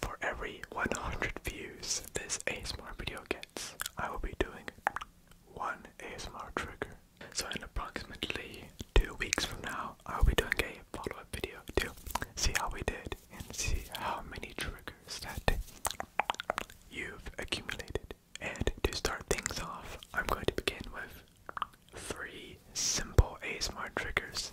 For every 100 views this ASMR video gets, I will be doing one ASMR trigger. So in approximately two weeks from now, I will be doing a follow-up video to see how we did and see how many triggers that you've accumulated. And to start things off, I'm going to begin with three simple ASMR triggers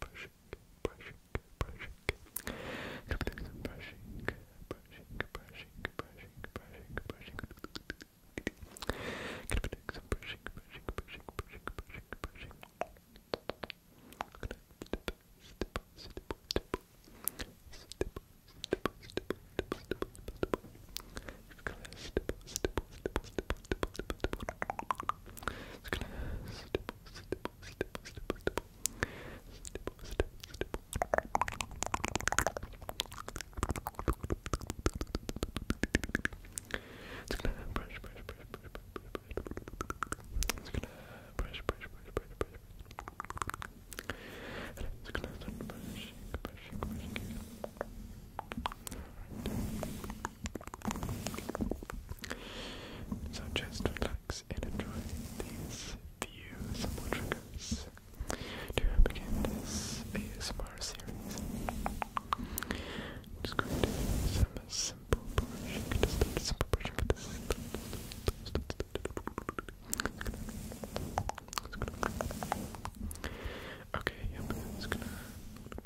brushing, brushing, brushing. Come do some brushing, brushing, brushing, brushing, brushing, brushing. Gonna do some brushing, brushing, brushing, brushing, brushing, brushing. Gonna stipple, stipple, stipple, stipple, stipple, stipple, stipple, stipple, stipple, stipple. Just gonna stipple, stipple, stipple, stipple, stipple, stipple. Just gonna stipple, stipple stipple, stipple, stipple, stipple. Stipple, stipple, stipple. It's gonna brush, brush, brush, brush, brush, brush. It's gonna brush, brush, brush, brush, brush. And it's gonna start brushing, brushing, brushing. Alright. So just relax and enjoy these few simple triggers to begin this ASMR series. Just going some simple brushing. Just simple brushing with this. Okay, yep, it's gonna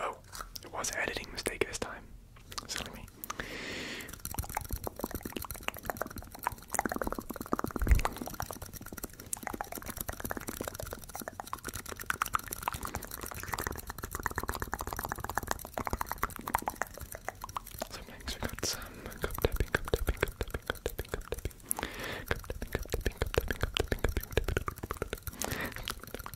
Oh, it was an editing mistake this time. Silly me.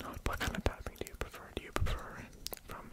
Now, what kind of tapping do you prefer? Do you prefer from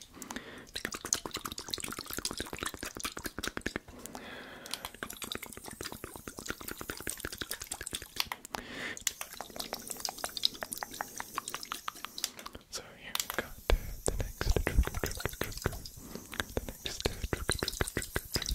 So here we've got the, the next trigger, trigger, trigger, the next trigger, trigger, trigger, trigger.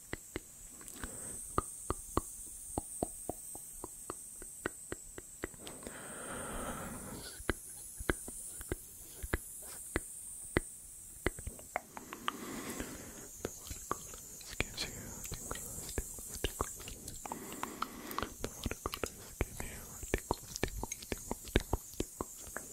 The watercolors give you tingles, tingles, tingles, tingles, tingles.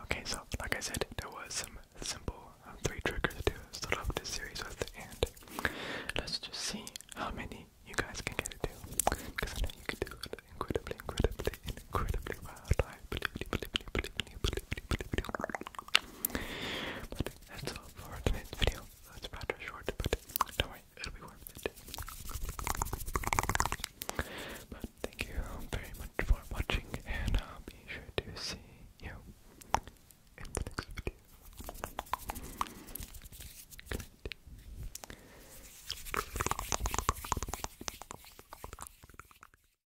Okay, so like I said, there was some simple uh, three triggers to start off this series with, and let's just see how many you guys can get it to, because I know you can do it incredibly, incredibly, incredibly well. But that's for tonight's video. It's rather short, don't worry, it'll be worth it. But thank you very much for watching, and I'll be sure to see you in the next video. Good night.